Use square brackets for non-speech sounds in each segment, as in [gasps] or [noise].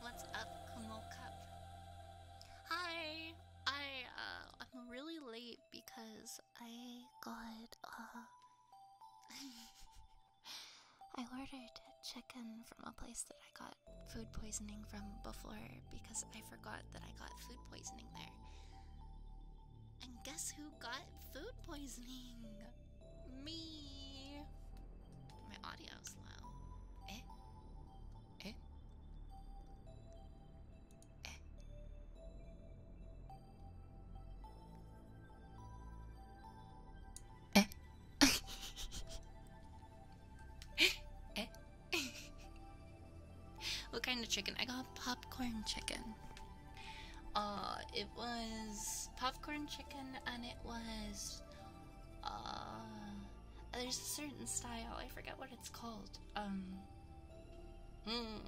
What's up, Kamal Cup? Hi! I, uh, I'm really late because I got, uh, [laughs] I ordered chicken from a place that I got food poisoning from before because I forgot that I got food poisoning there. And guess who got food poisoning? Me! My audio's low. Eh? Eh? Eh? Eh? [laughs] eh? eh? what kind of chicken? I got popcorn chicken. Uh, it was popcorn chicken and it was uh, there's a certain style. I forget what it's called. Um. Mm,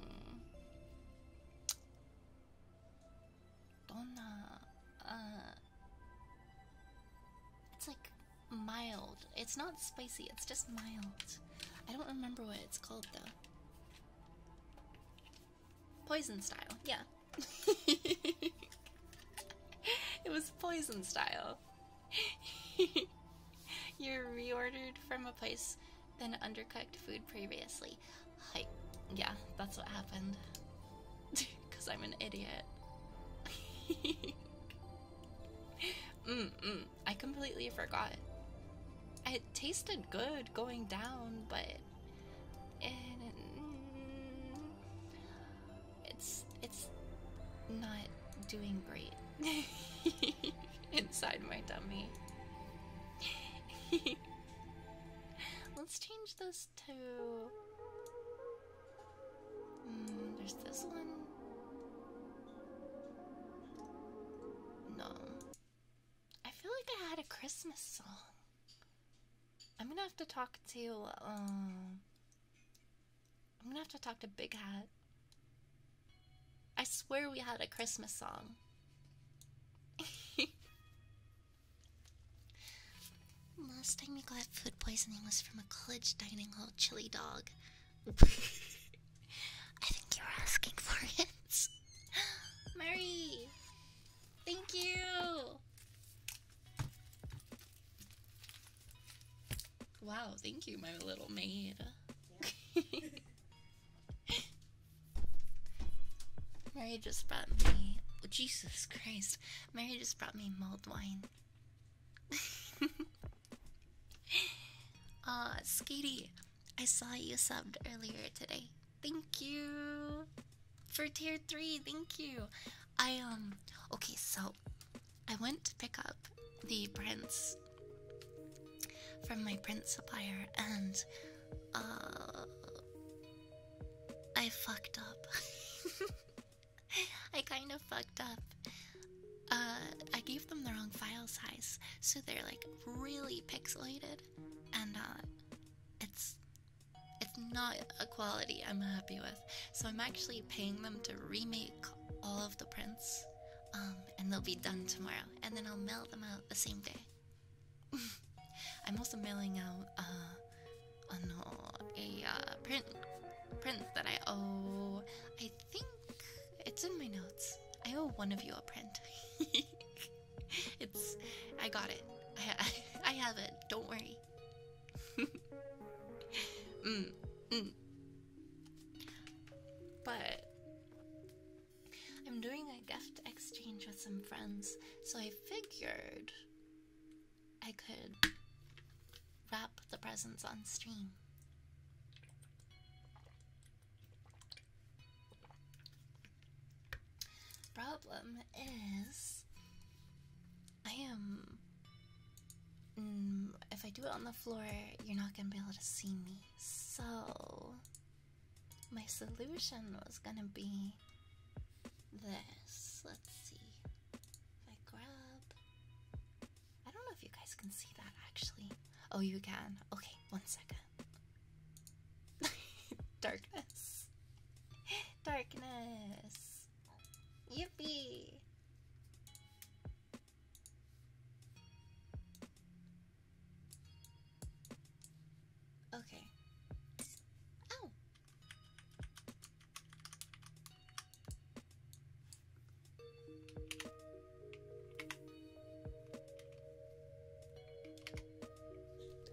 donna. Uh. It's like mild. It's not spicy. It's just mild. I don't remember what it's called though. Poison style. Yeah it was poison style. You're reordered from a place than undercooked food previously. Hi. Yeah, that's what happened. Because [laughs] I'm an idiot. mm mm. I completely forgot. It tasted good going down, but. Mm, it's it's not doing great [laughs] inside my dummy. [laughs] Let's change this to. Mm, there's this one. No. I feel like I had a Christmas song. I'm gonna have to talk to um, I'm gonna have to talk to Big Hat. I swear we had a Christmas song. [laughs] Last time you got food poisoning was from a college dining hall chili dog. [laughs] I think you were asking for it. [gasps] Mary! Thank you! Wow, thank you, my little maid. [laughs] Mary just brought me. Oh, Jesus Christ. Mary just brought me mulled wine. Aw, [laughs] uh, Skatie, I saw you subbed earlier today. Thank you for tier 3. Thank you. I um okay, so I went to pick up the prints from my print supplier and uh, I fucked up. [laughs] I kind of fucked up. Uh, I gave them the wrong file size, so they're like really pixelated, and uh, it's it's not a quality I'm happy with. So I'm actually paying them to remake all of the prints. Um, and they'll be done tomorrow. And then I'll mail them out the same day. [laughs] I'm also mailing out oh uh, no, uh, a uh, print print that I owe. I think it's in my notes. I owe one of you a print. [laughs] it's I got it. I [laughs] I have it. Don't worry. [laughs] Mm, mm, But I'm doing a gift exchange with some friends, so I figured I could wrap the presents on stream. Problem is, I am. Mm, if I do it on the floor, you're not gonna be able to see me. So, my solution was gonna be this. Let's see. If I grab. I don't know if you guys can see that actually. Oh, you can. Okay, one second. [laughs] Darkness. [laughs] Darkness. Yippee! Okay. Ow! Oh.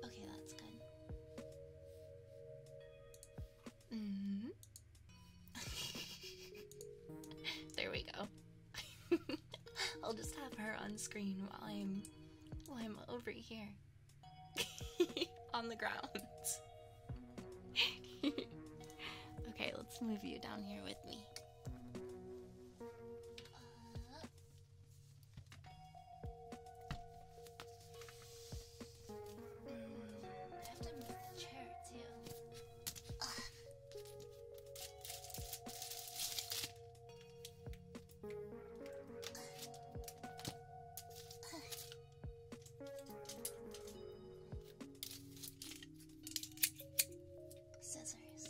Okay, that's good. Mm-hmm. [laughs] there we go. [laughs] I'll just have her on screen while I'm while I'm over here [laughs] on the ground. okay, let's move you down here with me. I have to move the chair Scissors.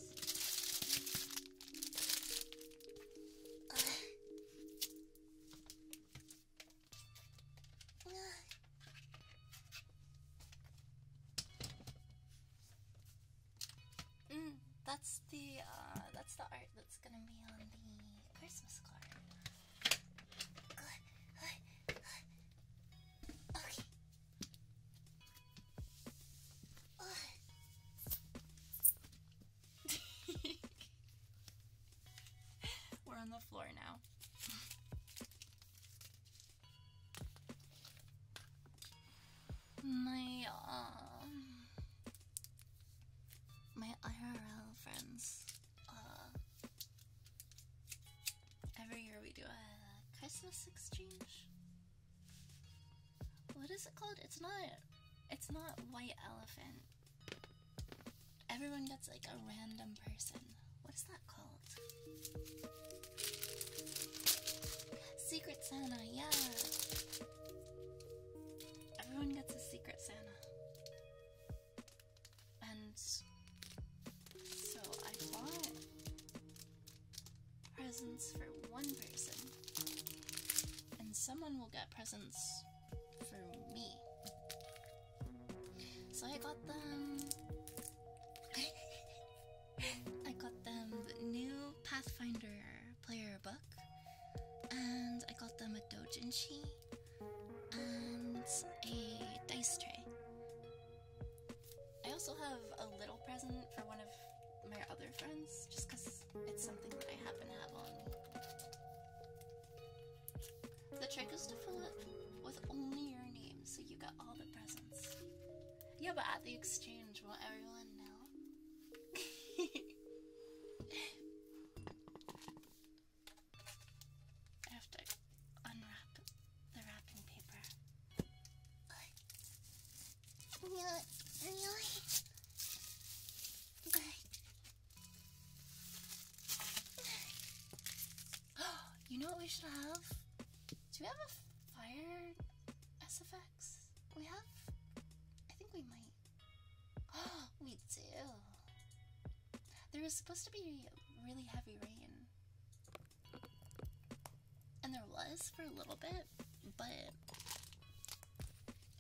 [sighs] mm, that's the uh, that's the art that's gonna be on the Christmas card. Good. [laughs] Okay. [laughs] [laughs] We're on the floor now. my um, uh, my IRL friends. every year we do a Christmas exchange. What is it called? It's not. It's not white elephant. Everyone gets like a random person. What is that called? Secret Santa, yeah. Everyone gets a Secret Santa. And so I bought presents for one person. And someone will get presents for me. So [laughs] I got them. I got them the new Pathfinder player book, and I got them a dojinshi and a dice tray. I also have a little present for one of my other friends, just because it's something that I happen to have on me. The trick is to fill it with only your name so you get all the presents. Yeah, but at the exchange, will everyone know? [laughs] I have to unwrap the wrapping paper. [gasps] you know what we should have? Do we have a fire SFX? We have? I think we might. Oh, [gasps] we do. There was supposed to be really heavy rain. And there was for a little bit, but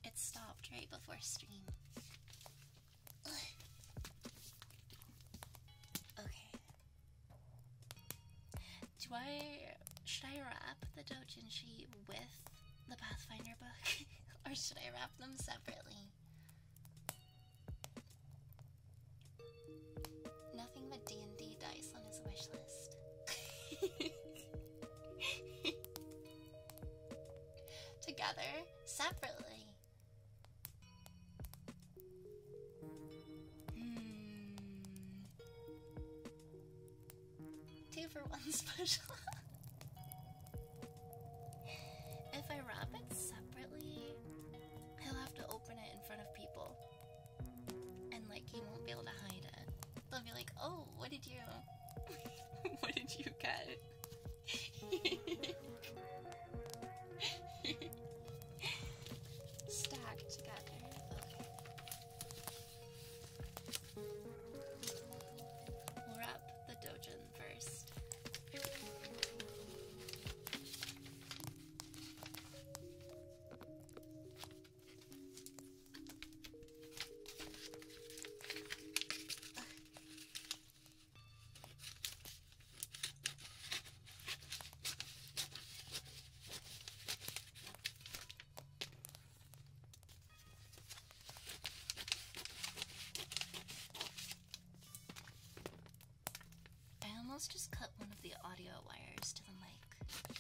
it stopped right before stream okay. Do I should I wrap the doujinshi with the Pathfinder book, [laughs] or should I wrap them separately? Nothing but D and D dice on his wish list. [laughs] Together, separately. Hmm. Two for one [laughs] special. if I wrap it separately, I'll have to open it in front of people. And like, he won't be able to hide it. They'll be like, oh, what did you. [laughs] what did you get? Stack together. Okay. the dojin first. I almost just cut one of the audio wires to the mic.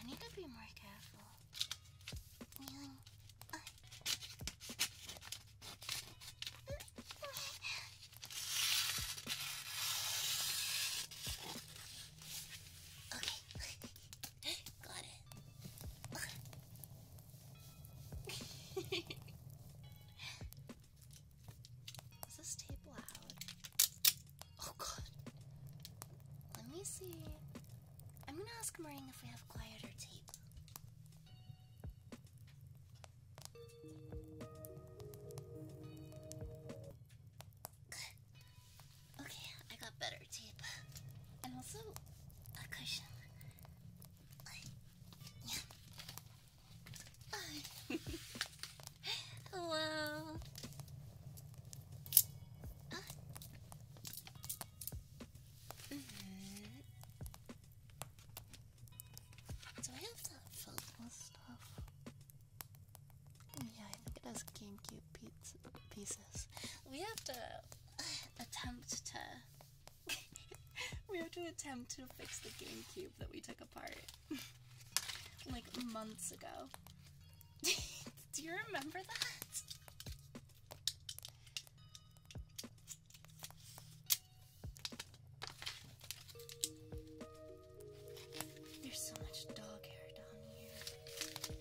I need to be more careful. Okay, got it. Is this tape loud? Oh god. Let me see. I'm gonna ask Maring if we have quieter tape. Okay, I got better tape. And also a cushion. Yeah. [laughs] Mm-hmm. Do I have that filled stuff? Mm, yeah, I think it has GameCube pizza pieces. We have to attempt to. [laughs] we have to attempt to fix the GameCube that we took apart [laughs] like months ago. [laughs] Do you remember that? There's so much dog hair down here.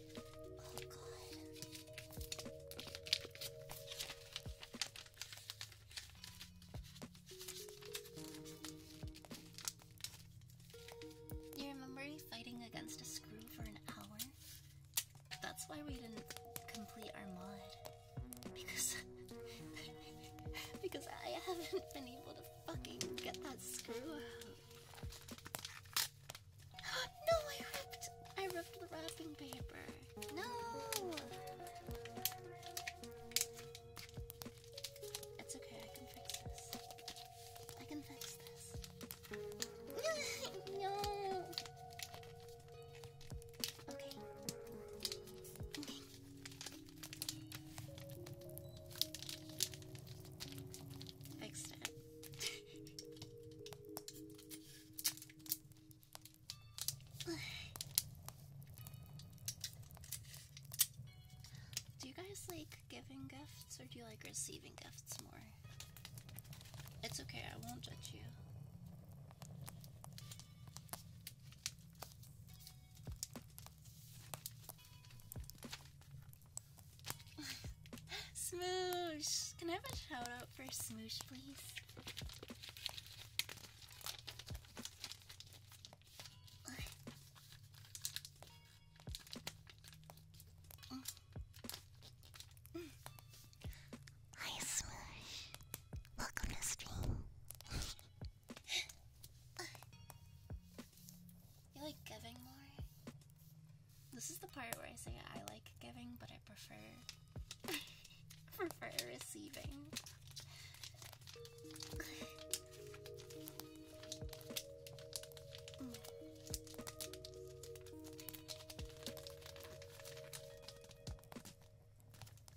Oh god. You remember fighting against a screw for an hour? That's why we didn't complete our mod. Because [laughs] because I haven't been able to fucking get that screw out. [gasps] no, I ripped I ripped the wrapping paper. No. It's okay, I can fix this. I can fix this. [laughs] no. Okay. Okay. Fixed it. do you guys like giving gifts or do you like receiving gifts more? It's okay, I won't judge you. [laughs] Smoosh! Can I have a shout for Smoosh, please? [laughs] Hi, Smush. Welcome to stream. [laughs] you like giving more? This is the part where I say I like giving, but I prefer [laughs] prefer receiving. [laughs]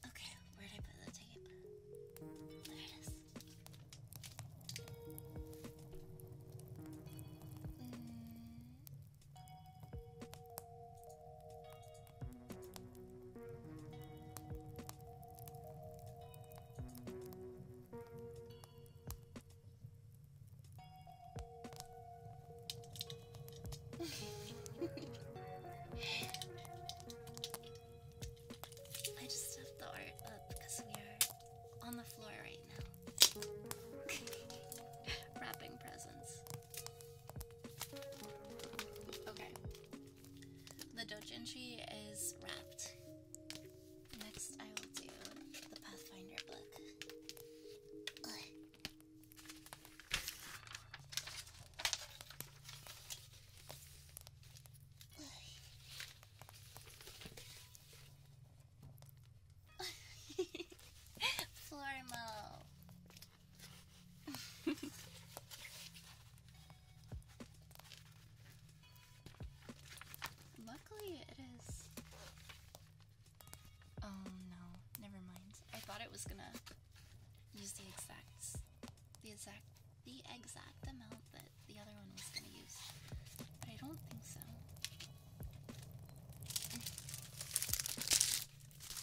Okay, where did I put the tape? There it is. Hmm. I just stuffed the art up because we are on the floor right now. [laughs] Wrapping presents. Okay. The doujinshi is wrapped. Next, I will do the Pathfinder book. Formal. [laughs] Luckily, it is Oh no, never mind. I thought it was gonna use the exact, the exact, the exact amount that the other one was gonna use, but I don't think so.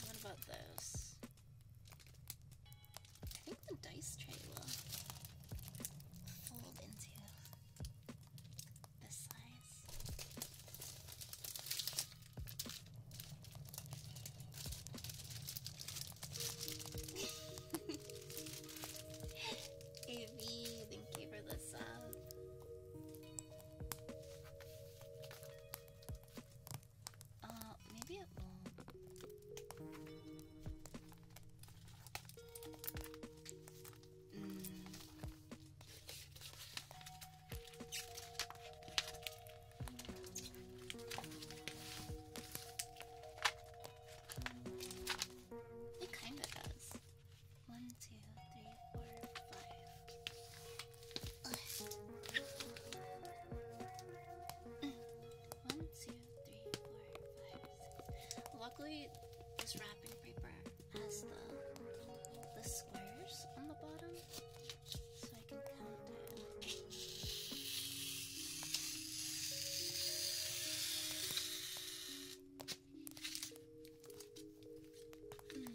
what about those? I think the dice tray will fold into this size. [laughs] thank you for this. sub. Uh, maybe it won't. Mm. It kind of does. One, two, three, four, five. One, two, three, four, five, six. Luckily, this wrapping paper as the the squares on the bottom so I can count it. Hmm.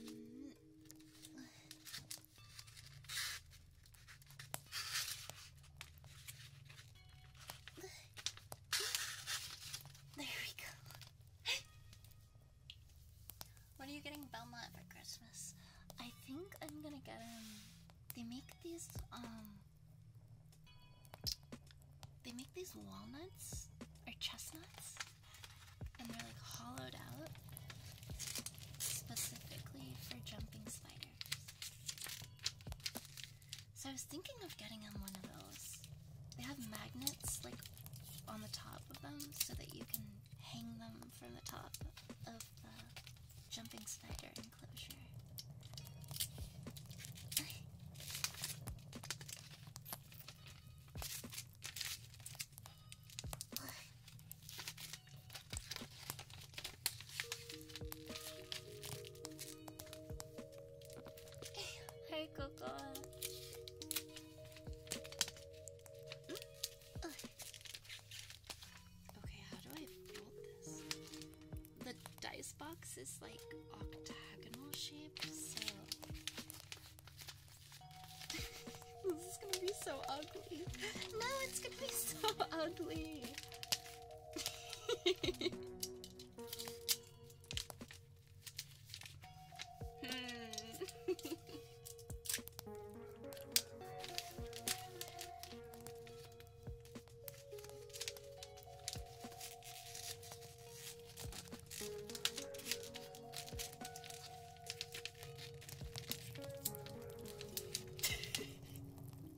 There we go. What are you getting Belmont for Christmas? I think I'm gonna get him. Um, they make these um they make these walnuts or chestnuts and they're like hollowed out specifically for jumping spiders. So I was thinking of getting him one of those. They have magnets like on the top of them so that you can hang them from the top of the jumping spider enclosure. Hey, Coco. Okay, how do I fold this? The dice box is like octagonal shape, so. [laughs] this is gonna be so ugly. No, it's gonna be so [laughs] ugly. [laughs] Hmm. [laughs]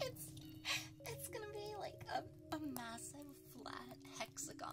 it's it's gonna be like a, a massive flat hexagon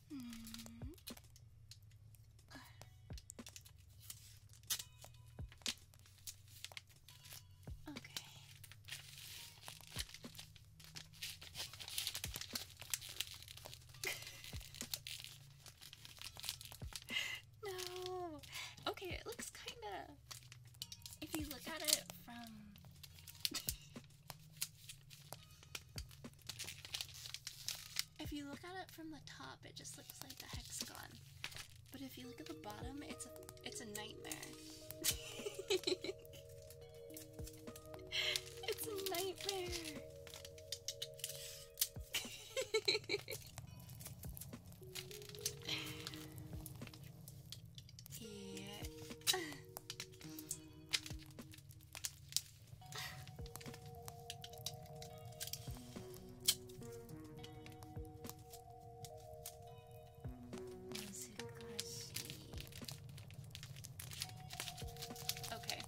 [laughs] no. Okay, it looks kinda. If you look at it from. [laughs] If you look at it from the top, it just looks like a hexagon. But if you look at the bottom, it's a it's a nightmare. [laughs] it's a nightmare. [laughs] yeah. [laughs] Okay.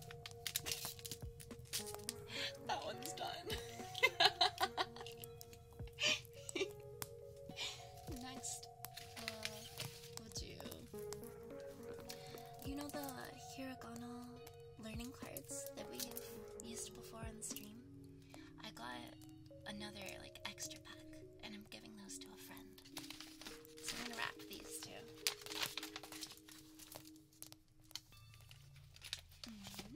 [laughs] that one's done. [laughs] Next, uh, we'll do you know the hiragana learning cards that we've used before on the stream? I got another like extra pack and I'm giving those to a friend. So I'm gonna wrap these two. Mm-hmm.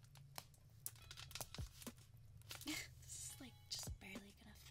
[laughs] this is like just barely gonna fit.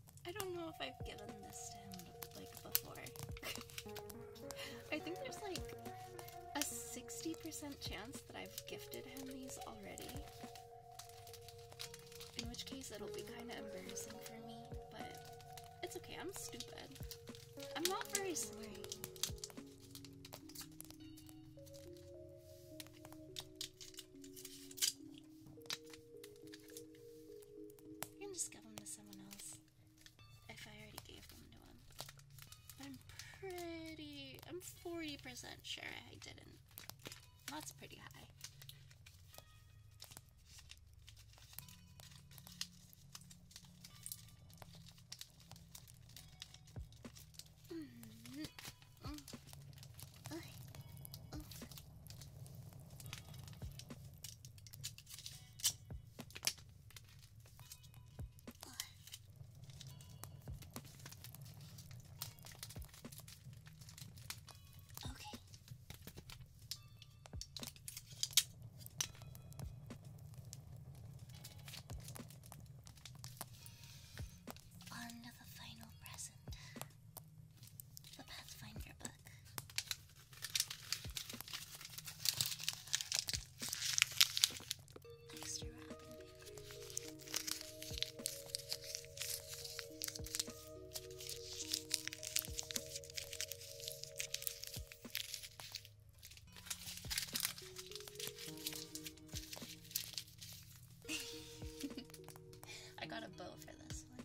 I don't know if I've given this to him like before. [laughs] I think there's like a 60% chance that I've gifted him these already. In which case it'll be kind of embarrassing for me, but it's okay, I'm stupid. I'm not very smart. I can just give them to someone else if I already gave them to him. But I'm pretty. I'm 40% sure I didn't. That's pretty high. Mm-hmm. Mm-hmm. Mm-hmm. Okay. On to the final present the Pathfinder book. [laughs] I got a bow for this one.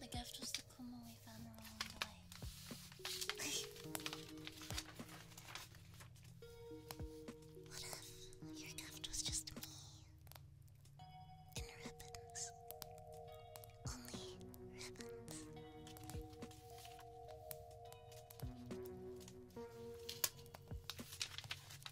The gift was the Kuma we found rolling away. what if your gift was just me? ribbons. Only ribbons.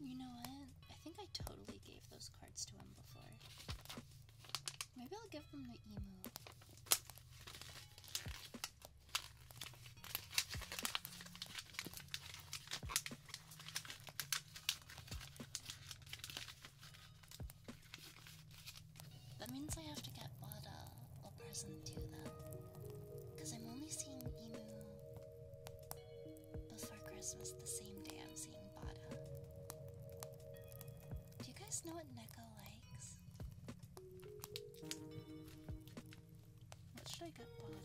You know what? I think I totally gave those cards to him before. Maybe I'll give them the emu. That means I have to get Bada a present too, though. Because I'm only seeing Emu before Christmas the same day I'm seeing Bada. Do you guys know what Neko likes? What should I get Bada?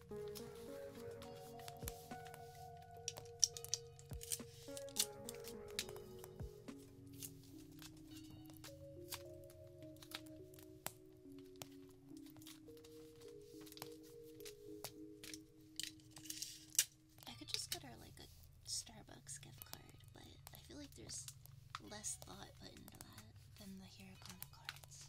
I could just get her like a Starbucks gift card, but I feel like there's less thought put into that than the Hiragana cards.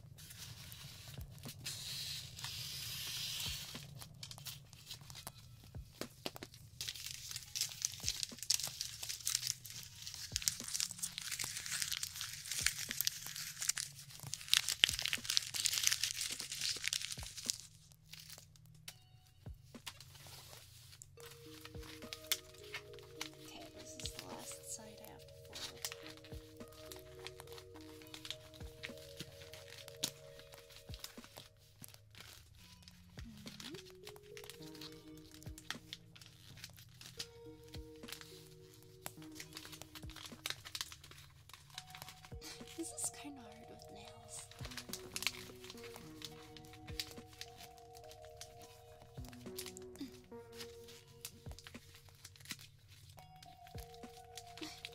Okay, this is the last side I have to fold. This is kind of hard with nails.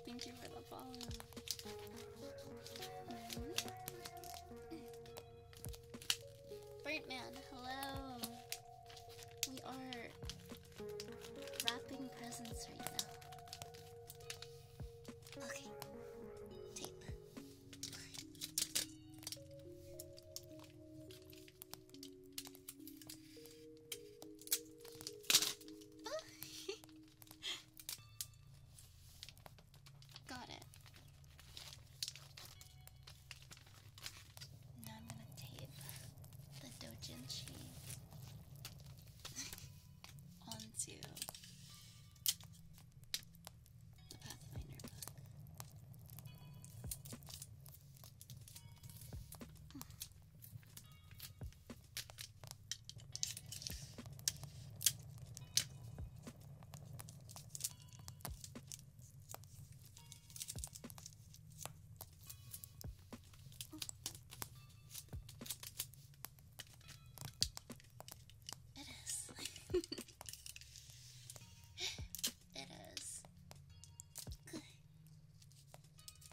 Thank you for the follow. Mm -hmm. hello. We are wrapping presents right now. Okay, take [laughs] Got it. Now I'm going to tape the doujin cheese [laughs] onto the Pathfinder book. Hmm. It is. [laughs] it is. Good.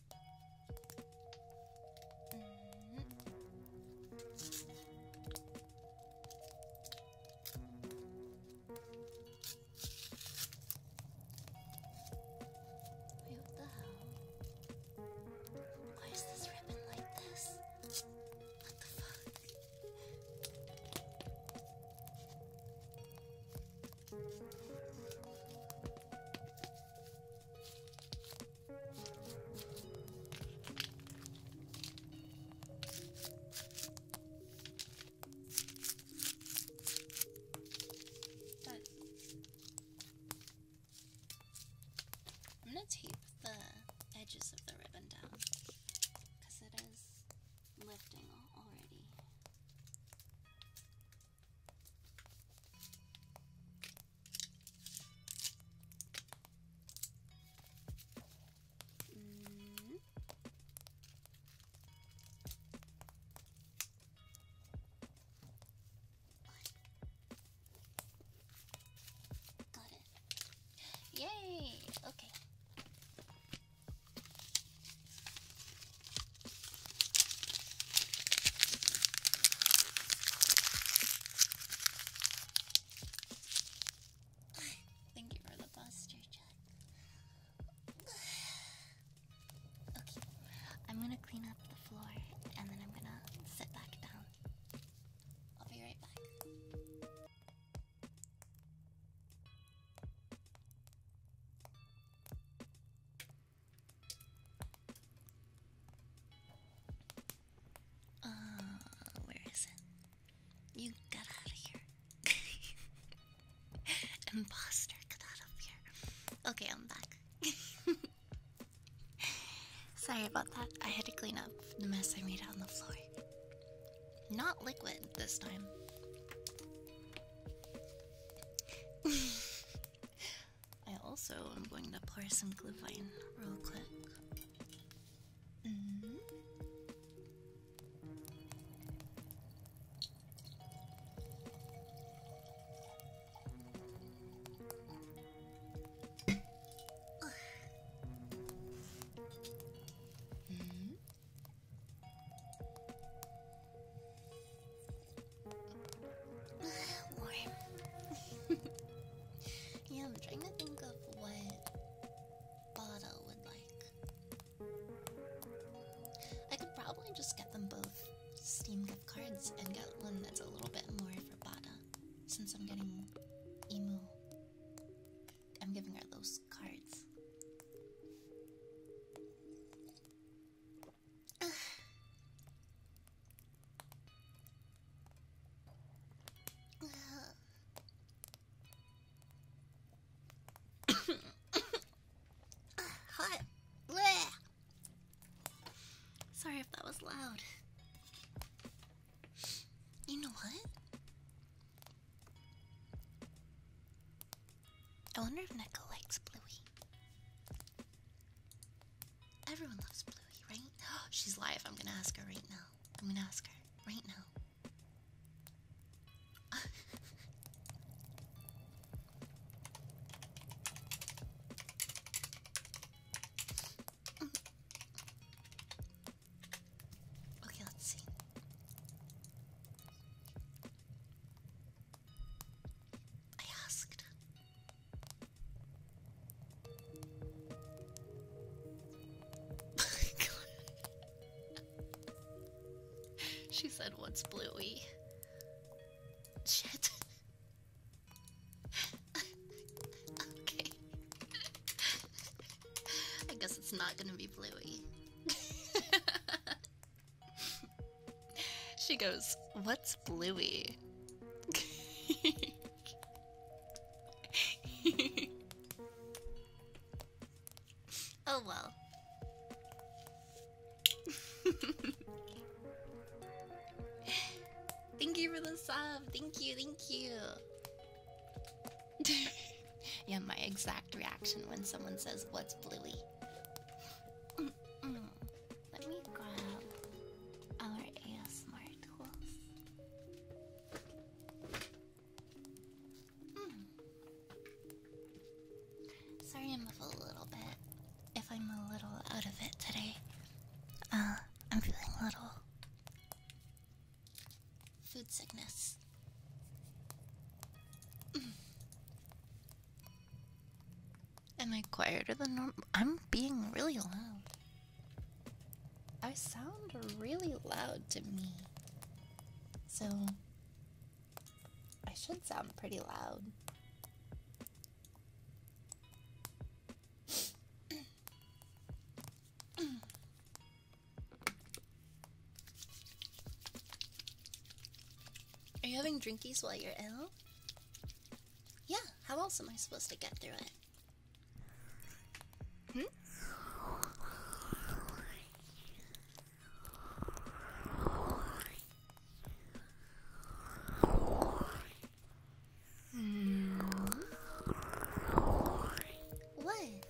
Wait, what the hell? Why is this ribbon like this? What the fuck? I'm going to tape the edges of the ribbon down because it is lifting already. Mm. Got it. Yay! Okay. Thank you for the posture check. Okay, I'm gonna clean up the floor and then I'm gonna sit back down. I'll be right back. Uh, where is it? You got out of here. [laughs] Imposter, got out of here. Okay, I'm back. [laughs] Sorry about that. I had to clean up the mess I made on the floor. Not liquid this time. [laughs] I also am going to pour some glyphine real quick. Mm-hmm. Mm-hmm. [laughs] yeah, I'm trying to think of what Bada would like. I could probably just get them both Steam gift cards and get one that's a little bit more for Bada, since I'm getting Emu. I'm giving her those cards. Hot. Sorry if that was loud. You know what? I wonder if Neko likes Bluey. Everyone loves Bluey, right? [gasps] She's live. I'm gonna ask her right now. I'm gonna ask her right now. [laughs] okay, let's see. I asked. [laughs] she said, What's Bluey? Shit. okay. I guess it's not gonna be Bluey. [laughs] she goes, What's Bluey? oh well. thank you for the sub. Thank you, thank you. yeah, my exact reaction when someone says, What's Bluey? Let me grab our ASMR tools. Hmm. Sorry, I move a little bit. If I'm a little out of it today, uh, I'm feeling a little food sickness. Am I quieter than normal? I'm being really loud. I sound really loud to me. So, I should sound pretty loud. Are you having drinkies while you're ill? Yeah, how else am I supposed to get through it? Hmm? hmm? What?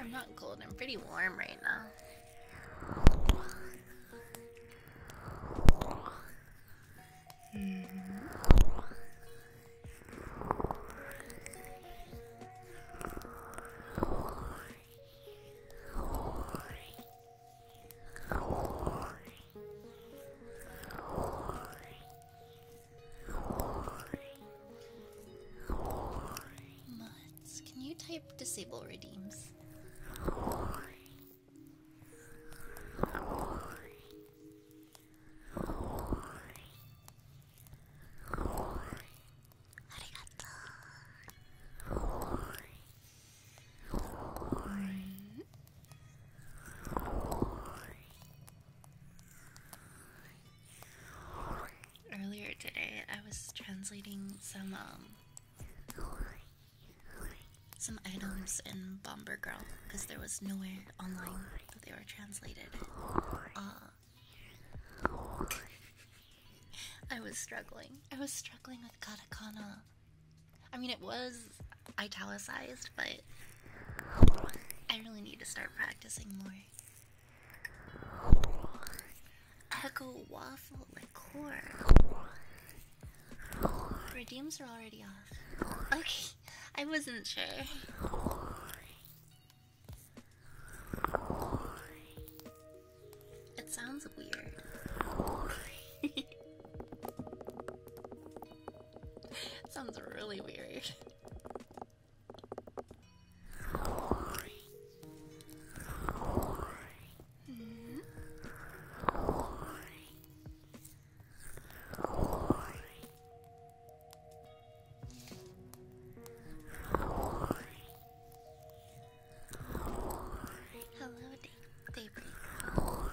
I'm not cold, I'm pretty warm right now. Mm. can you type disable redeems? Earlier today, I was translating some um some items in Bomber Girl because there was nowhere online they were translated. Uh, I was struggling. I was struggling with katakana. I mean, it was italicized, but I really need to start practicing more. Echo waffle liqueur. Redeems are already off. I wasn't sure. It sounds weird. [laughs] sounds really weird. Hmm? Hello, David. Hello,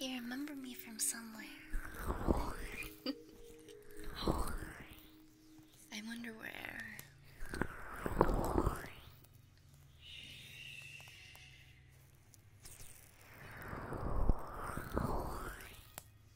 you remember me from somewhere. I wonder where.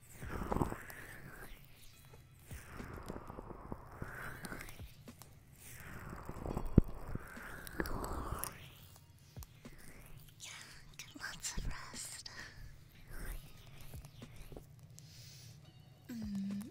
Yeah, get lots of rest. Mm.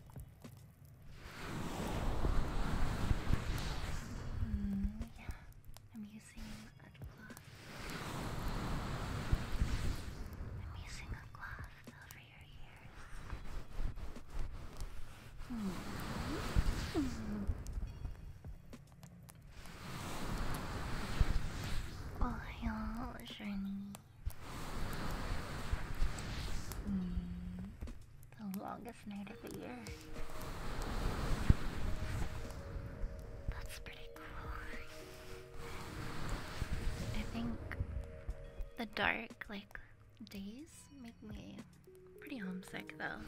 Mm, yeah, I'm using a cloth. I'm using a cloth over your ears. Oh, y'all, Mm, the longest night of the year. That's pretty cool. I think the dark, like, days make me pretty homesick, though.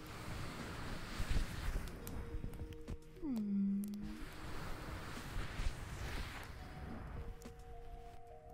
Hmm.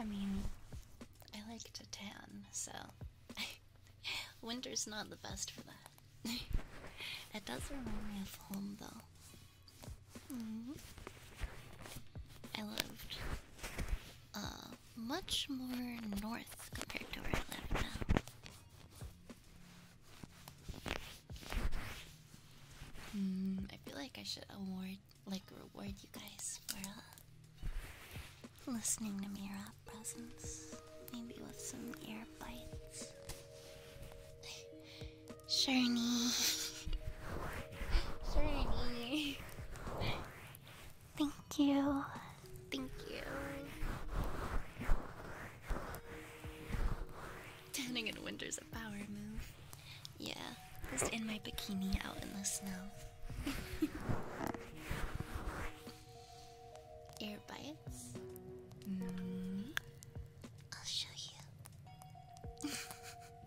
I mean, I like to tan, so [laughs] winter's not the best for that. [laughs] it does remind me of home, though. Mm-hmm. I lived uh, much more north compared to where I live now. Mm, I feel like I should award, like, reward you guys for uh, listening to me rap presents. Maybe with some ear bites. Shirney. [laughs] Shirney. [laughs] Thank you. Thank you. Tanning in winter's a power move. Yeah, just in my bikini out in the snow. [laughs] Air bites. Mm-hmm. I'll show you. [laughs]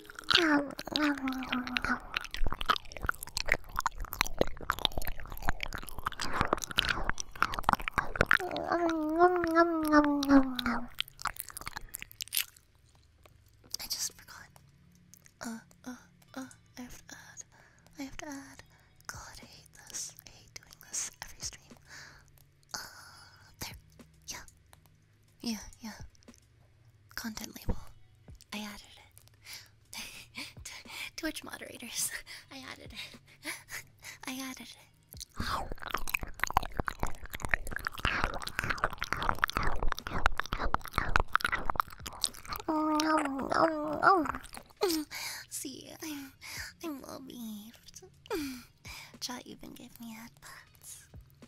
I just forgot. Uh, uh, uh, I have to add. I have to add. God, I hate this. I hate doing this every stream. Uh, there. Yeah. Yeah, yeah. Content label. I added it. to [laughs] Twitch moderators. [laughs] I added it. [laughs] I added it. Oh no, See, I'm, I'm well behaved. Chat even gave me headbutts.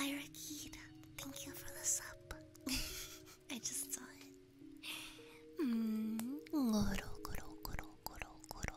Irakid, thank you for the sub. [laughs] I just saw it. Mm. Goro, goro, goro, goro, goro.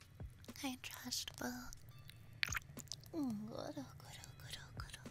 I trust both. Goro, mm, goro, goro, goro.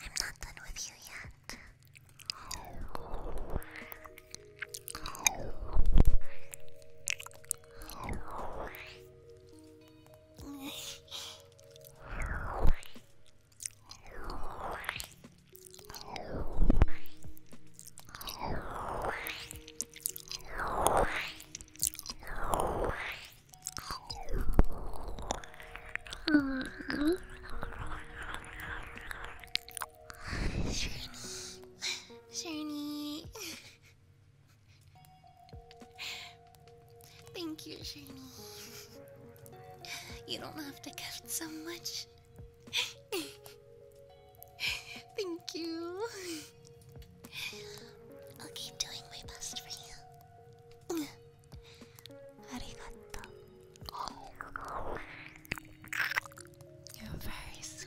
I'm not done with you yet. [laughs] Shirley. Thank you, Shani. You don't have to gift so much. Thank you. I'll keep doing my best for you. Arigato. You're very sweet.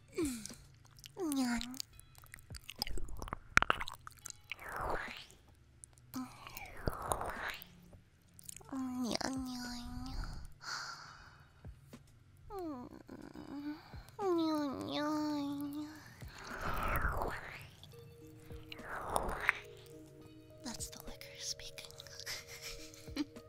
That's the liquor speaking. [laughs]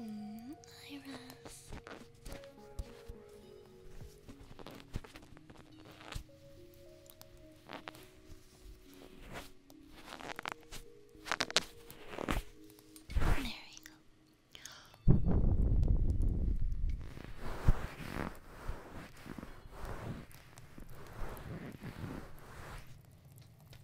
Mm, Iris. There we go.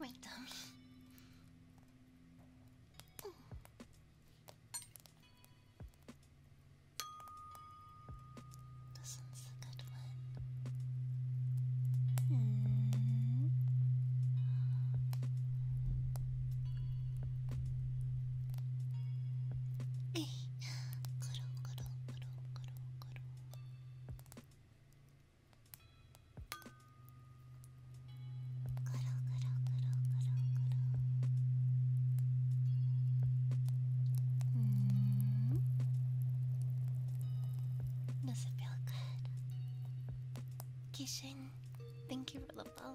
My tummy. This one's a good one. Mm. Hey, good old, good old, good old, good old, good old. Good does it feel good? Kishin, thank you for the follow.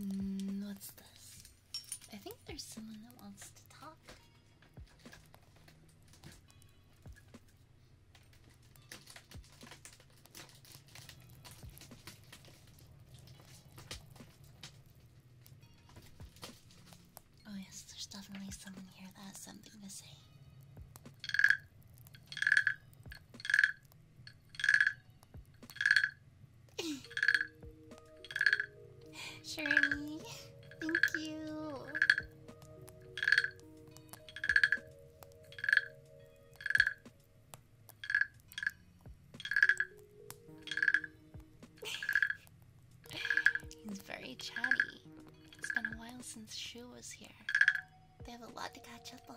Mm, what's this? I think there's someone that wants to talk. Oh, yes, there's definitely someone here that has something to say. [laughs] Shirley, thank you. [sighs] He's very chatty. It's been a while since Shu was here. They have a lot to catch up on.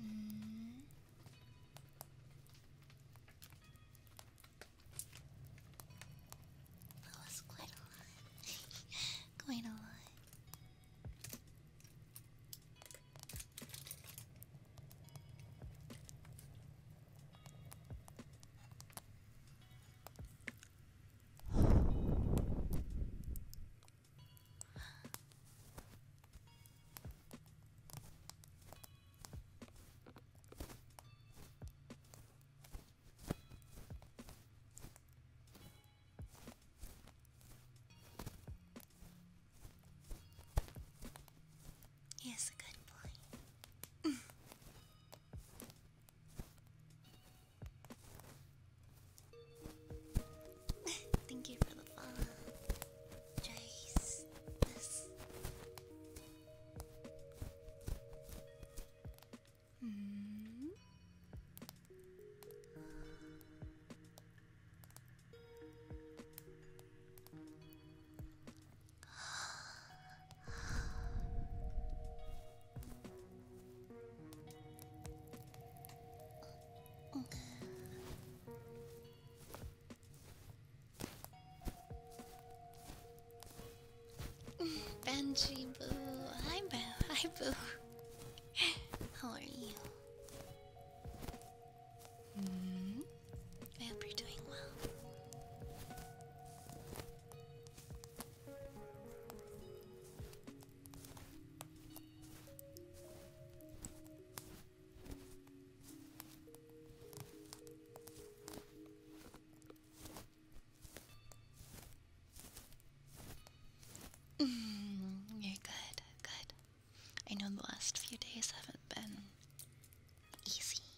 mm. That was quite a lot. quite a lot. He is a good boy. [laughs] Thank you for the fun, Jace. Hmm. Benji Boo. Hi, Boo. Hi, Boo. How are you? Hmm? I hope you're doing well. Mm, you're good, good. I know the last few days haven't been easy.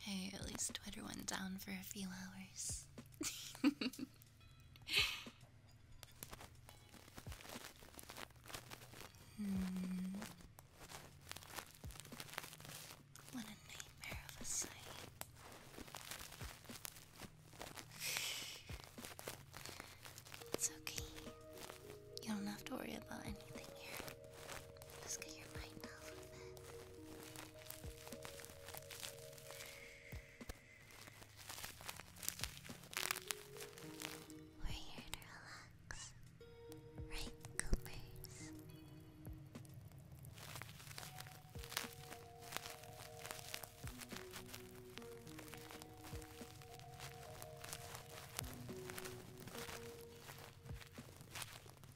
Hey, at least Twitter went down for a few hours. Hmm. What a nightmare of a sight. It's okay. You don't have to worry about anything here. Just get your mind off of it. We're here to relax, right, Coopers?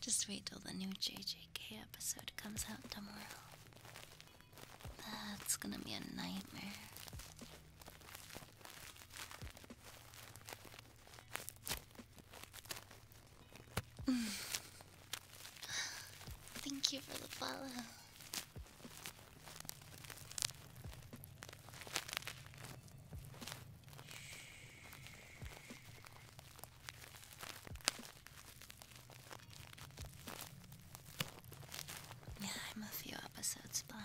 Just wait till the new JJK episode comes out tomorrow. That's gonna be a nightmare. [sighs] Thank you for the follow. Yeah, I'm a few episodes behind.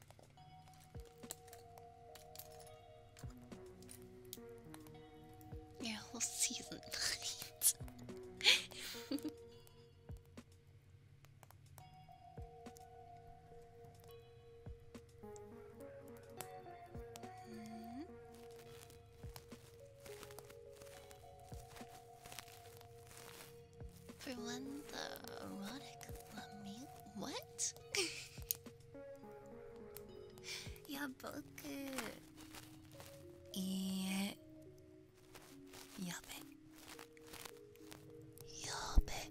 Yeah, whole season night. mm. For one, the erotic love lamia. What? [laughs] Yaboku. Yeah. Yabe. Yabe.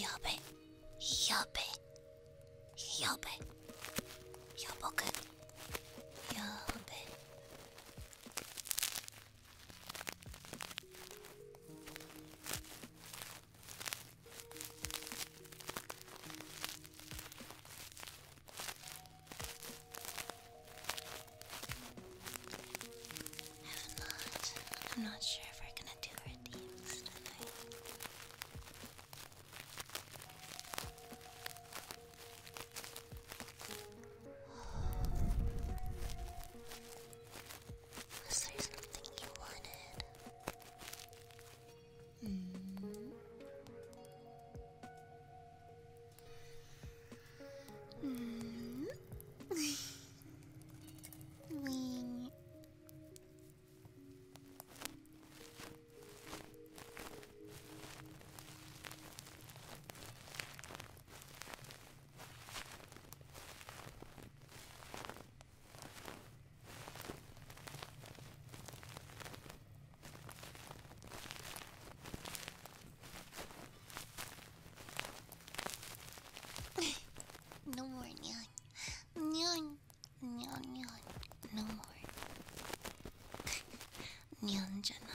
やべやべやべやばく Yeah, I'm not. I'm not sure if we're gonna do our tonight. Was there something you wanted? Mm. Mm. [laughs] Wing no more nyan. Nyan. Nyan, nyan. No more. にゃんじちょっと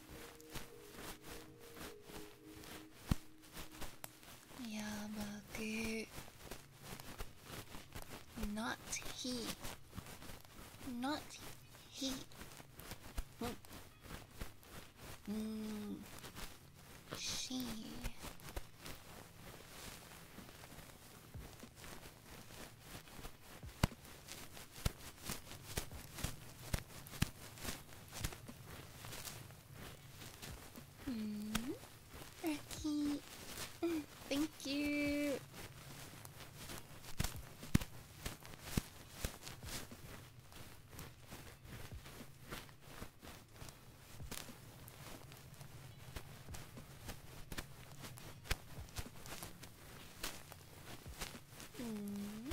やばく not he not he うん hmm. hmm. she Hmm. [laughs] Thank you. Mm.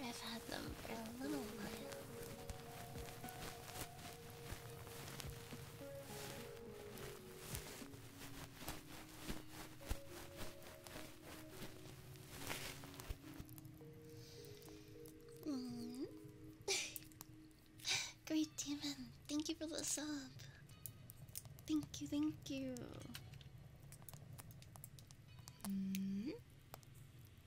I've had them for a little while. Mm. [laughs] Great demon, thank you for the sub. Thank you, thank you. Mm.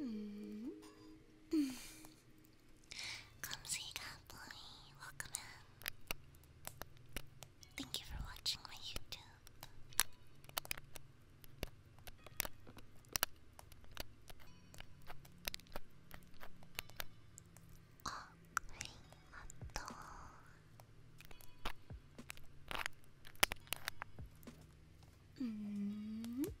Mm. Come see Catboy, welcome in. Thank you for watching my YouTube. Oh, mm -hmm.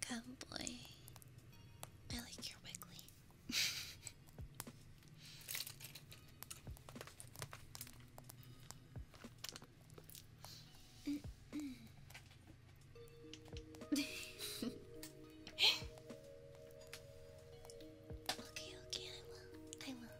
Come boy. I like your wiggly. [laughs] okay, okay, I will. I will.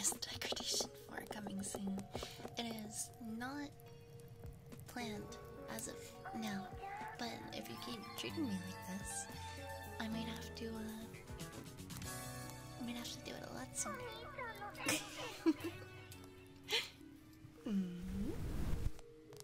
Is the degradation forthcoming soon? It is not planned as of now, but if you keep treating me like this, I might have to, uh, I might have to do it a lot sooner. [laughs] Hmm.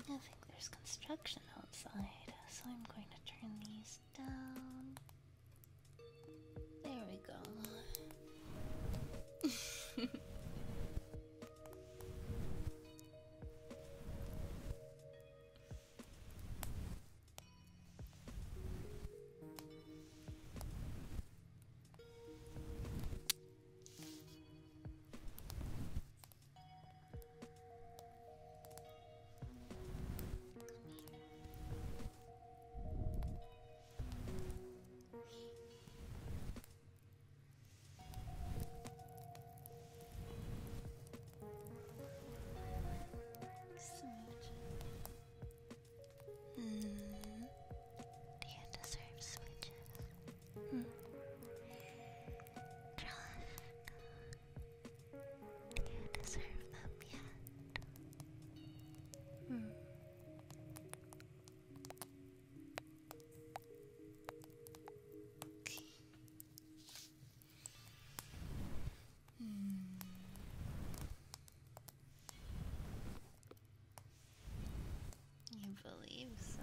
I think there's construction outside, so I'm going to turn these down. There we go. [laughs] Mm-hmm. Sweet. Do you deserve sweet? Hmm. you deserve them yet? Hmm. Okay. Hmm. You believe so.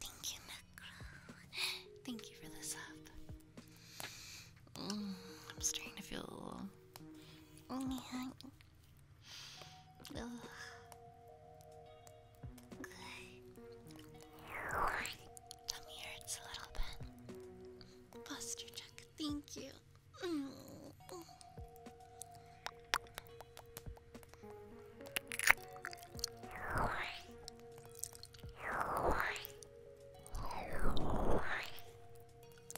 Thank you, Macro. Thank you for the sub. Mm, I'm starting to feel a little. Ugh. hurts a little bit. Posture check. Thank you. Mm.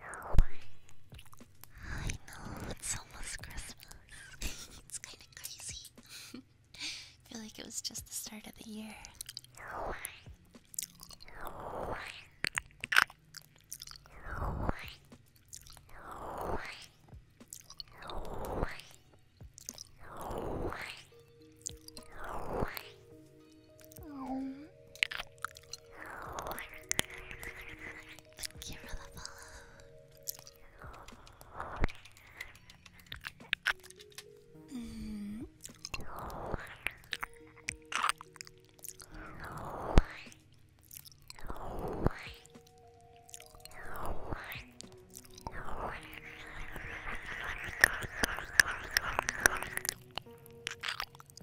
I know, it's almost Christmas. [laughs] it's kind of crazy. [laughs] feel like it was just the start of the year. [laughs] Thank you for the follow. Mm.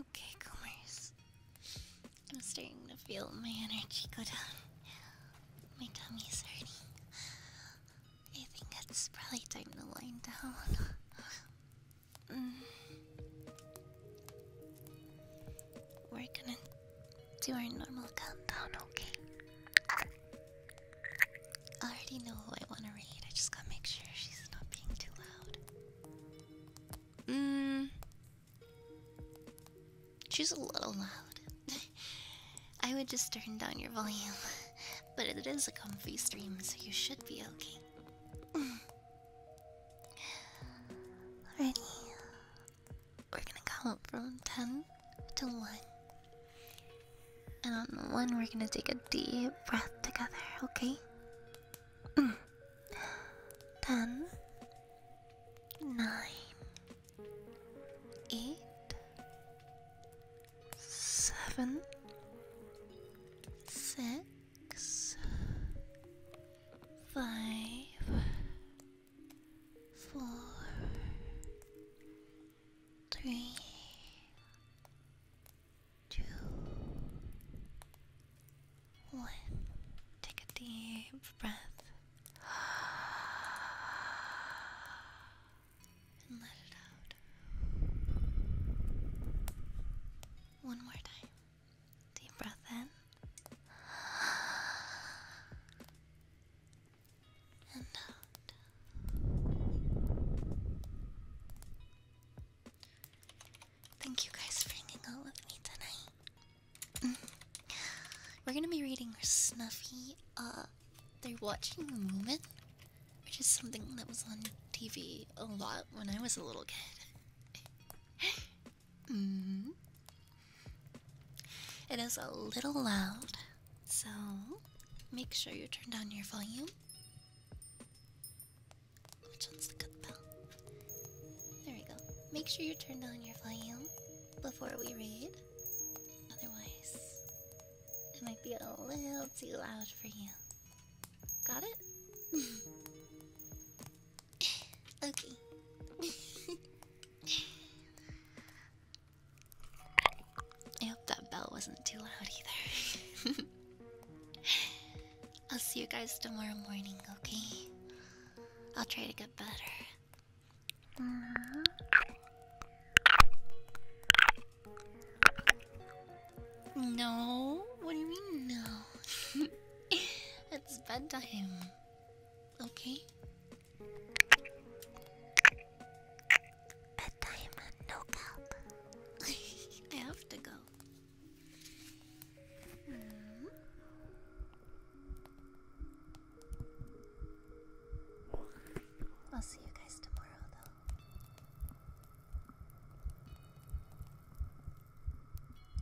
Okay, Comers. I'm starting to feel my energy go down. My tummy's hurting. I think it's probably time to lie down. Mm. We're gonna do our normal countdown, okay? I already know who I want to read, I just gotta make sure she's not being too loud. Mmm. She's a little loud. [laughs] I would just turn down your volume. [laughs] But it is a comfy stream, so you should be okay. [sighs] Alrighty. We're gonna count from 10 to 1. And on the 1, we're gonna take a deep breath together, okay? [clears throat] 10, eight, seven, six, five, four, three, two, one. Take a deep breath and let it out. One more time. Deep breath in. And out. Thank you guys for hanging out with me tonight. We're gonna be reading Snuffy. Uh, they're watching the Moomin, which is something that was on TV a lot when I was a little kid. [laughs] Mm-hmm. It is a little loud, so make sure you turn down your volume. Which one's the good bell? There we go. Make sure you turn down your volume before we read. Otherwise, it might be a little too loud for you. Got it? [laughs] okay. I hope that bell wasn't too loud either. [laughs] I'll see you guys tomorrow morning, okay? I'll try to get better. No, what do you mean no? [laughs] it's bedtime. Okay. Bedtime, no cup. [laughs] I have to go. Hmm? I'll see you guys tomorrow,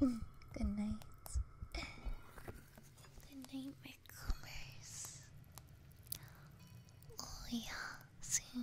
though. [laughs] Good night. Good night, my comers. Oh, yeah, see